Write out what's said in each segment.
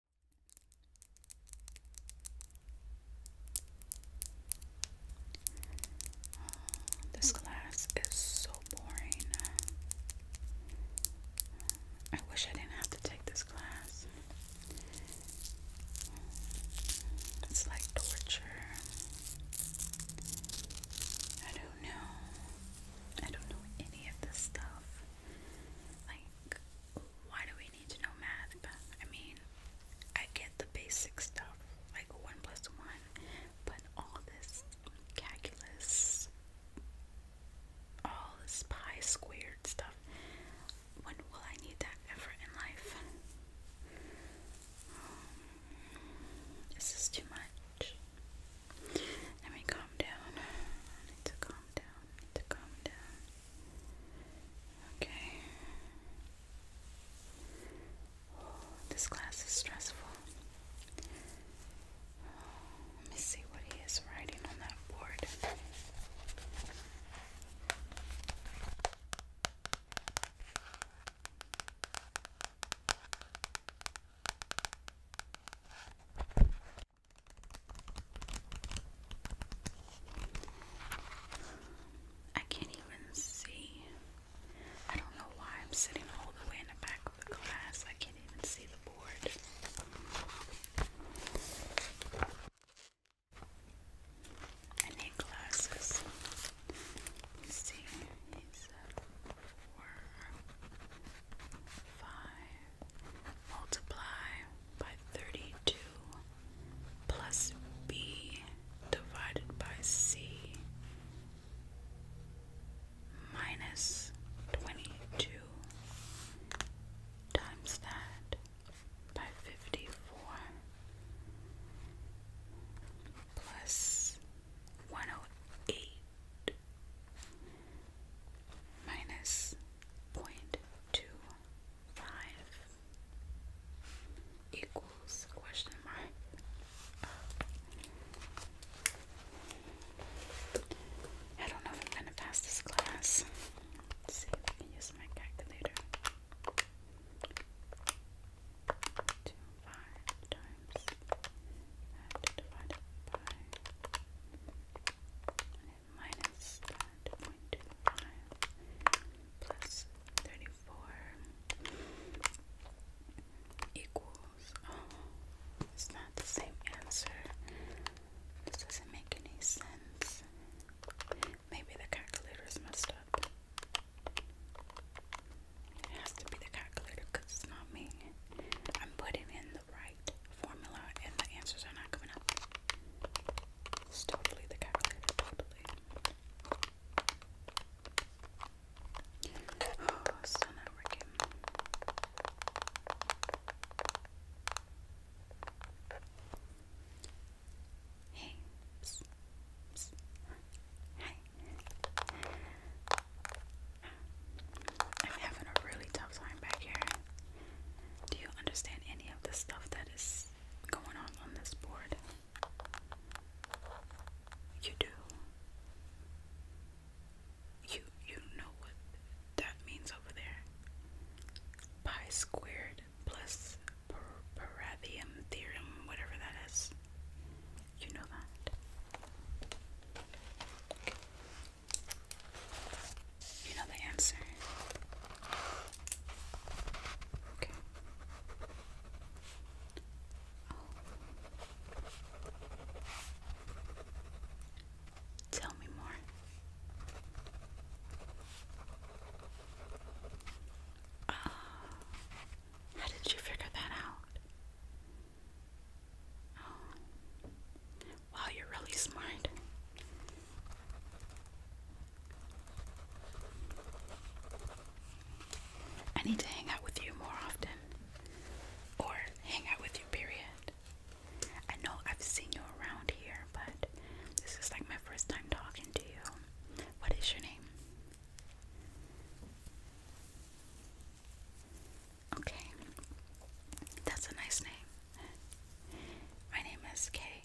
This class is so boring. I wish I didn't have to take this class. It's like torture. I don't know. I don't know any of this stuff. Like, why do we need to know math, but I mean, I get the basic stuff, like one plus one, but all this calculus, all this pi squared stuff, when will I need that ever in life? Um, this is too much. Let me calm down. need to calm down. to calm down. Okay. this class is stressful. let me see what he is writing on that board. I can't even see. I don't know why I'm sitting all the way in the back of the class. I can't even see the board. I need glasses. let multiply by 32 plus b divided by c minus 22 times that by 54 plus 108 minus 0 two, five equals question mark. I don't know if I'm gonna pass this class. Let's see if I can use my calculator. Two five times that divided by point two five plus thirty four equals oh it's not the same answer. This doesn't make any sense. Maybe the calculator is messed up. It has to be the calculator because it's not me. I'm putting in the right formula and the answers are not coming up. It's totally the calculator, totally. Oh, it's not working. Hey. Hi. I'm having a really tough time back here. Do you understand any of the stuff that is going on on this board? You do. You you know what that means over there. Pi squared plus Parathium theorem, whatever that is. You know that. You know the answer. Okay. Oh. Tell me more. Uh, how did you figure that out? Oh. Wow, you're really smart. I need to hang out with you more often. Or hang out with you, period. I know I've seen you around here, but this is like my first time talking to you. What is your name? Okay. That's a nice name. My name is Kay.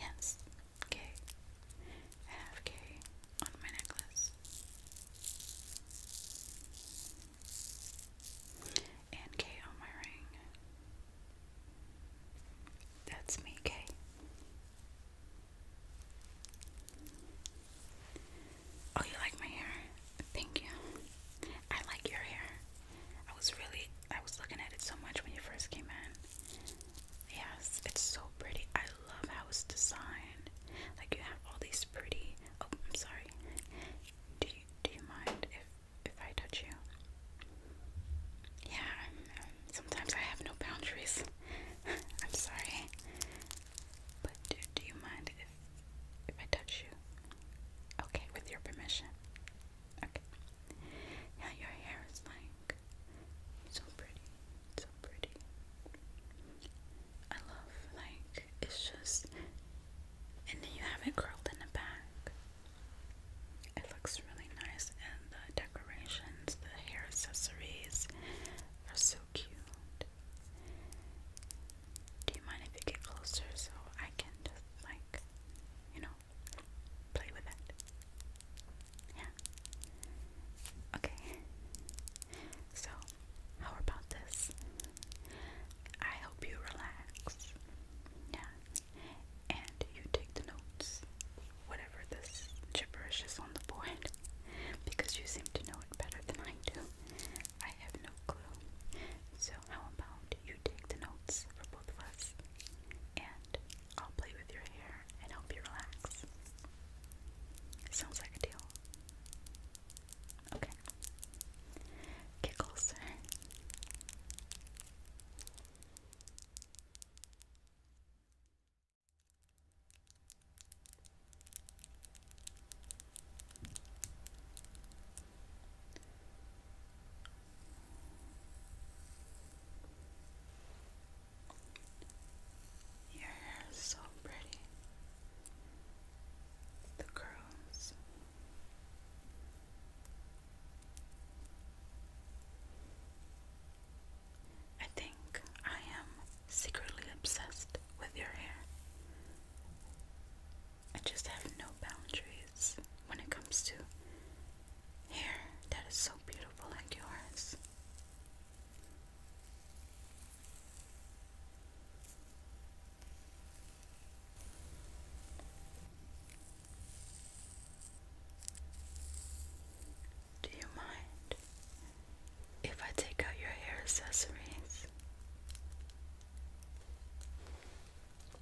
Yes, Kay. have Kay on my necklace. And Kay on my ring. That's me, Kay. Oh, you like my hair? Thank you. I like your hair. I was really, I was looking at it so much when you first came in. Yes, it's so pretty. I love how it's designed. Like you have all these pretty. Oh, I'm sorry. Do you do you mind if if I touch you? Yeah. Sometimes I have no boundaries. I'm sorry. But do, do you mind if if I touch you? Okay, with your permission. Okay. Now your hair is like so pretty, so pretty. I love like it's just, and you have it curled in the back. It looks really nice, and the decorations, the hair accessories are so cute. Do you mind if you get closer so I can just like like, you know, play with it. Yeah. Okay. So, how about this? I hope you relax. Yeah. And you take the notes, whatever this gibberish is on the board, because you seem to know it better than I do. I have no clue. So, how about you take the notes for both of us, and I'll play with your hair and help you relax. Sounds like a deal. Okay. Get your hair is so pretty. The curls. I think I am secretly obsessed with your hair. I just have no boundaries when it comes to hair that is so beautiful like yours. Do you mind if I take out your hair accessories?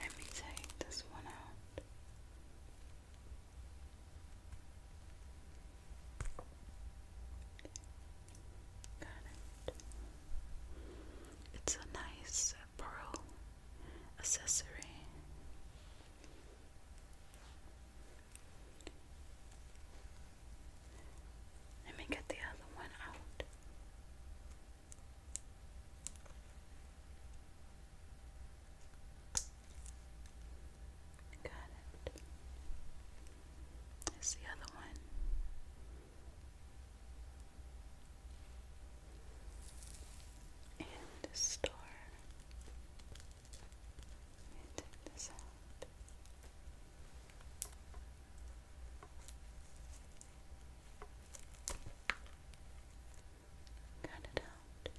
Let me take this one out. Got it. It's a nice pearl accessory. Let me get the other one out. Got it. the other one. And a star. And take this out. Cut it out.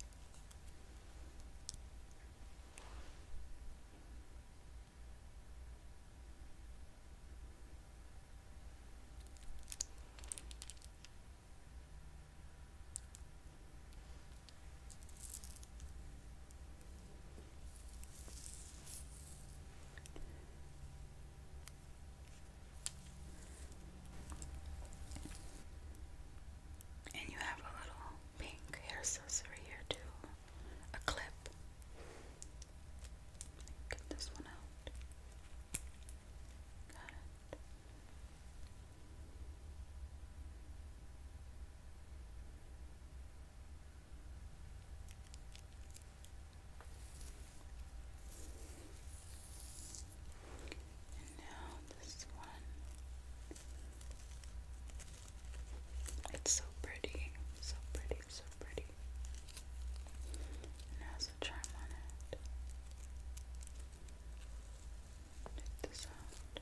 And you have a little pink hair accessory here too. A clip. Get this one out. Got it. And now this one. It's so pretty, so pretty, so pretty. And has a charm on it. Check this out.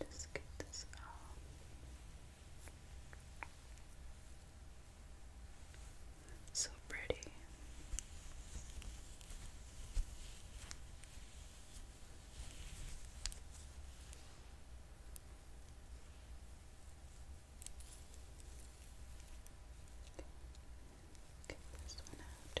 Let me just get this out. So pretty. Get this one out.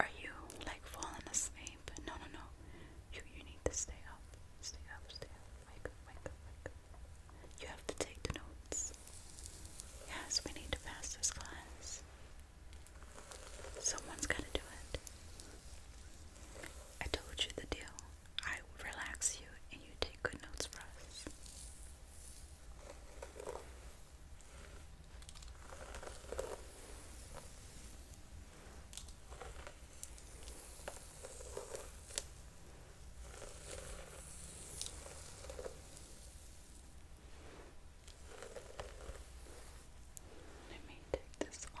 Are you like falling asleep? No, no, no. You you need to stay up. Stay up, stay up. Wake wake wake You have to take the notes. Yes, we need to pass this class. Someone's gotta do it. I told you the deal. I relax you and you take good notes for us. Let me take this off.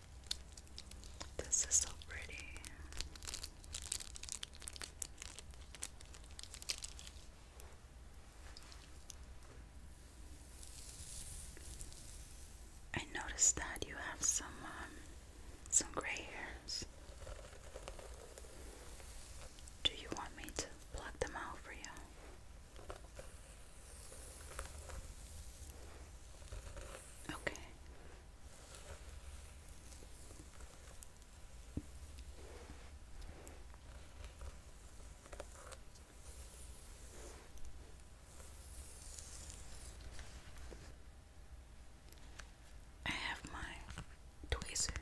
This is so pretty. I noticed that you have some um, some gray hairs. Do you want me to pluck them out for you? Okay. I have my tweezers.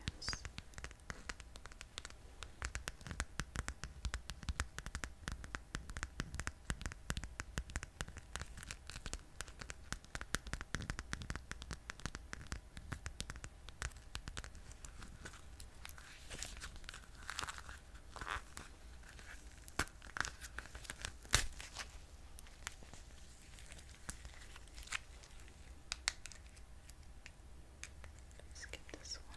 Skip this one.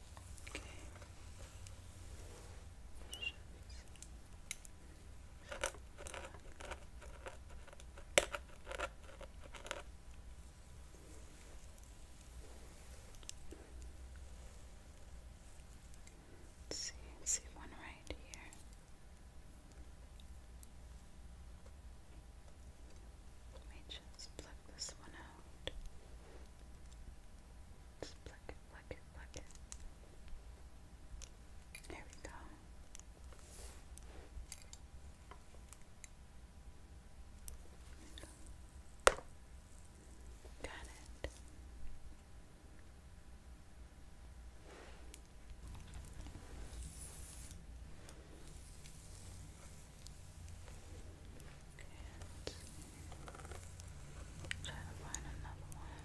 Okay. see, see one right here. Let me just pluck this one out. Just pluck it, pluck it, pluck it. There we go. Got it. Try to find another one.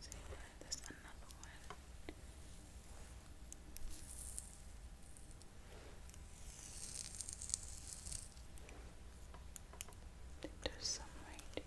See, there's another one. I think some right here.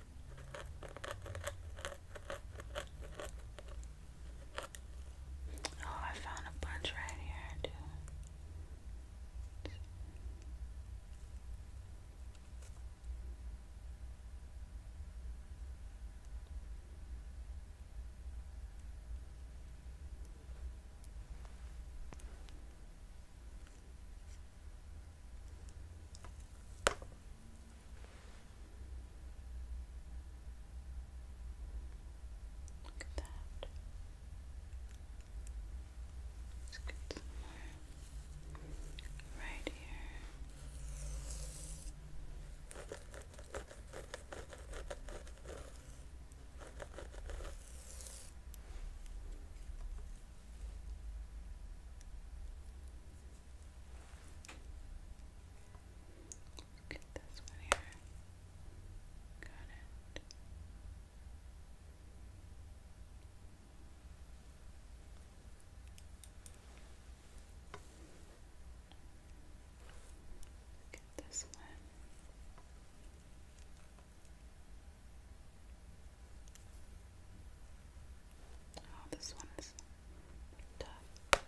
Oh, I found a bunch right here, too. Look at that. Let's get some more right here. Let's get this one here. Got it. Get this one. Oh, this one is tough.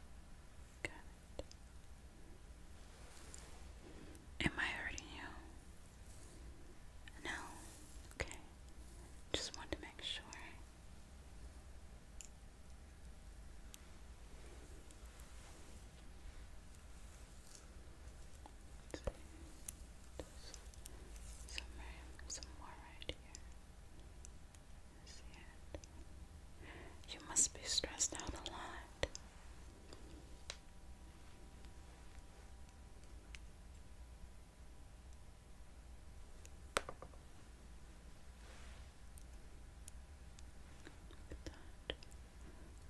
Got it. Am I hurting you? No. Okay. Just want to make sure. Somewhere, somewhere right here. You must be stressed out a lot.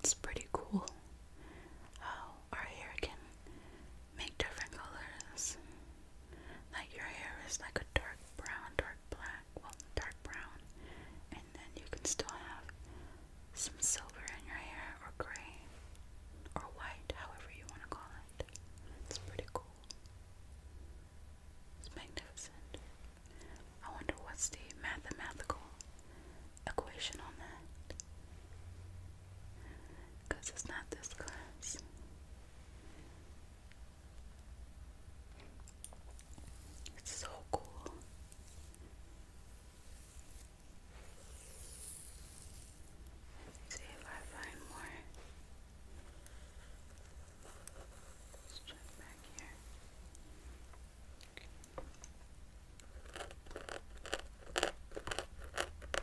It's pretty cool how oh, our hair can make different colors. Like your hair is like a dark brown, dark black, well, dark brown, and then you can still have some silver in your hair, or gray, or white, however you want to call it. It's pretty cool. It's magnificent. I wonder what's the mathematical equation on that. Because it's not this class. It's so cool. see if I find more. Let's check back here. Okay.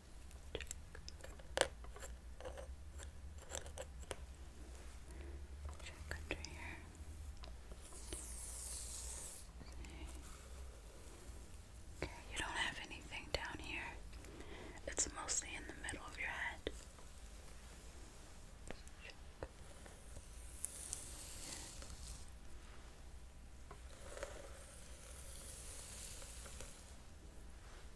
Check. under here. Okay, you don't have anything down here. It's mostly in the middle of your head.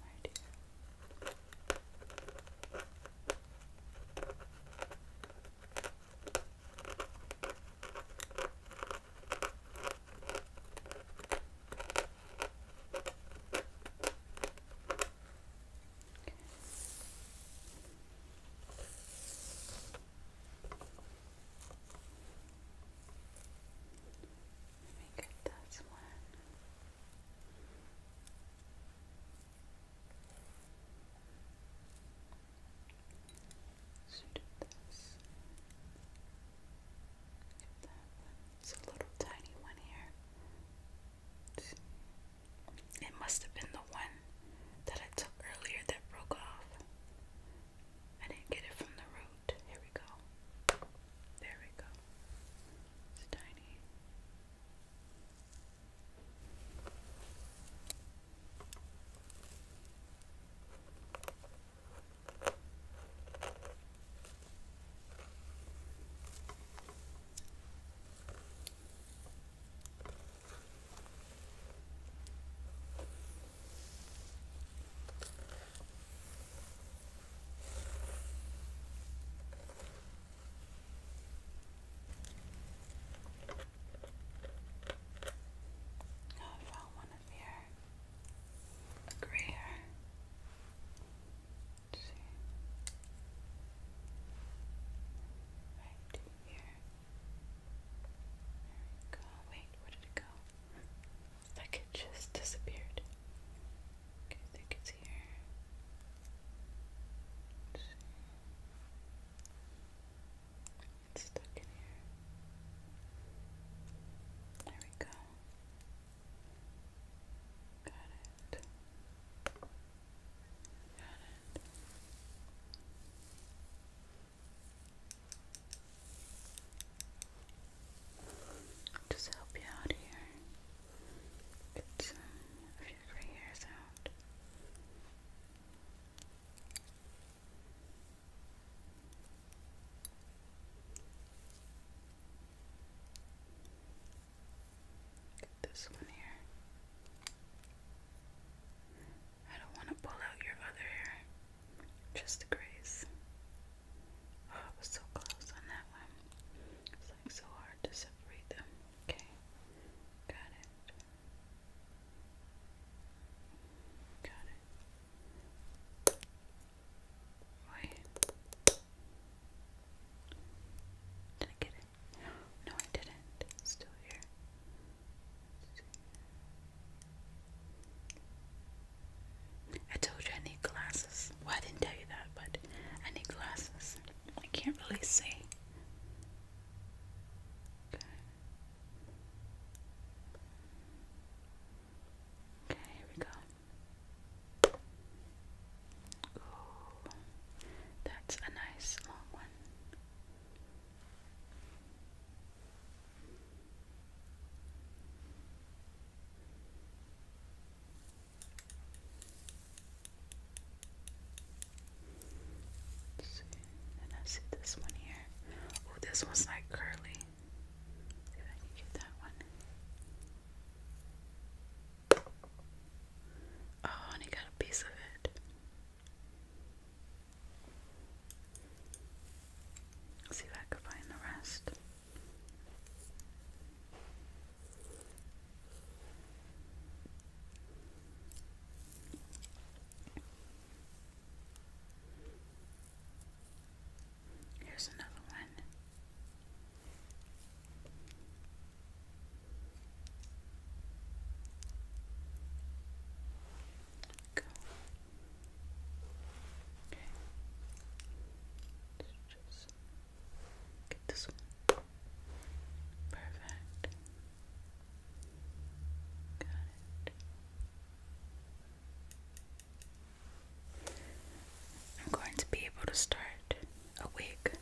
my dear. Let me get this one. So do this. It's a little tiny one here. It must have been the one that I took earlier that broke off. I didn't get it from the root. Here we go. There we go. It's tiny. Oh, I found one of your gray Right here. There we go. Wait, where did it go? Like it just disappeared. I think it's here let stuck in here. There we go. Got it. Got it. Just help you out here. It's uh, a few gray hairs out. Get this one here. I don't want to pull out your other hair, just the grays. Oh, I was so close on that one. It's like so hard to Okay, got it. Got it. Did I get it? No, I didn't. still here. I told you I need glasses. Well, I didn't tell you that, but I need glasses. I can't really see. Okay. here we go. that's a nice long one. Let's see. And I see this one here. Oh, this one's like curly. see if I can get that one. Oh, and he got a piece of it. see if I can find the rest. Here's another one. Go. Okay. Just Get this one. Perfect. Got I'm going to be able to start a wig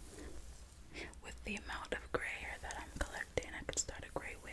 with the amount of gray hair that I'm collecting. I could start a gray wig.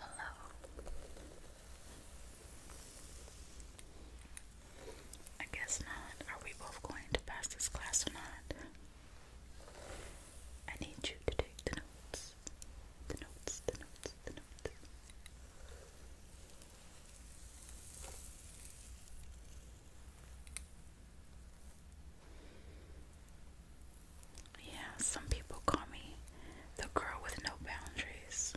Hello. I guess not. Are we both going to pass this class or not? I need you to take the notes. The notes, the notes, the notes. Yeah, some people call me the girl with no boundaries.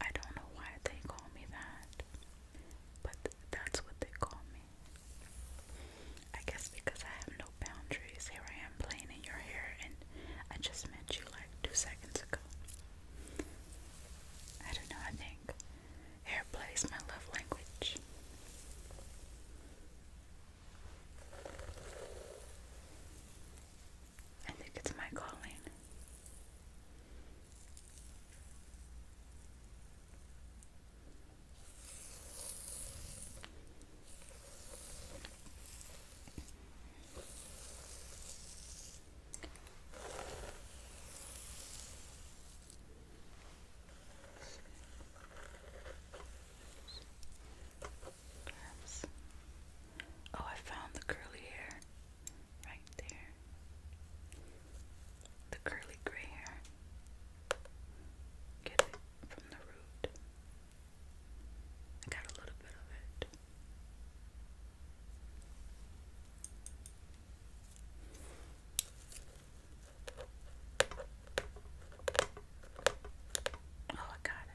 I don't know why they call me that, but that's what they call me. I guess because I have no boundaries. Here I am playing in your hair, and I just met you like two seconds ago. I don't know, I think hair plays my love language. I think it's my calling. Oh, I found the curly hair right there. The curly gray hair. Get it from the root. I got a little bit of it. Oh, I got it.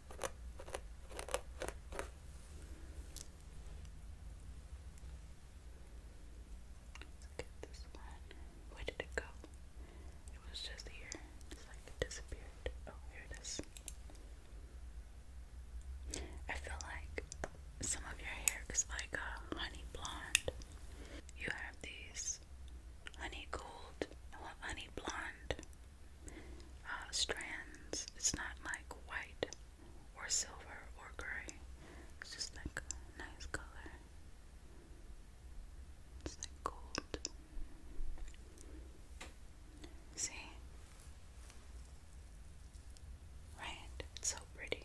Let's get this one. Where did it go? It was just here. It's like it disappeared. Oh, here it is. I feel like some of your hair is like a honey blonde. You have these honey gold, well, honey blonde uh, strands. It's not like white or silver or gray. It's just like nice color. It's like gold. See? Right? so pretty.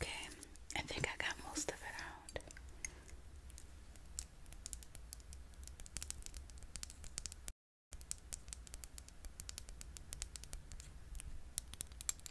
Okay, I think I got most of it out.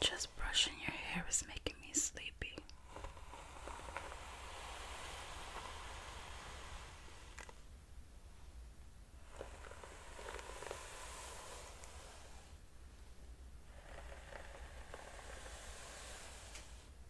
Just brushing your hair is making me sleepy.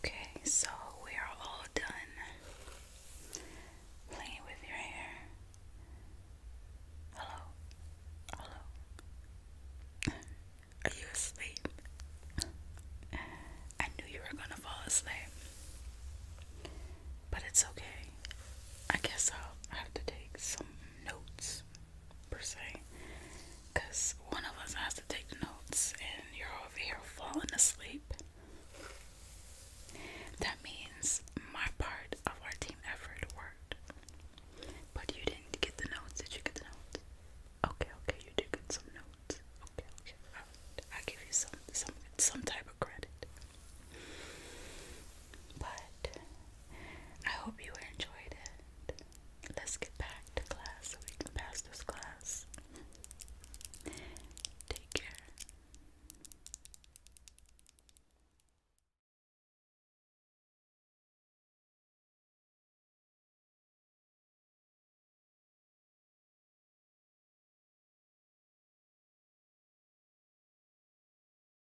Okay, so we are all done playing with your hair. Hello? Hello? Are you asleep? I knew you were gonna fall asleep. But it's okay. I guess I'll have to take some notes per se, because one of us has to take notes, and you're over here falling asleep. That means my part of our team effort worked, but you didn't get the notes. Did you get the notes? Okay, okay, you did get some notes. Okay, okay, right. give you some some some type of credit. But I hope you enjoyed it. Let's get back to class so we can pass this class. Take care.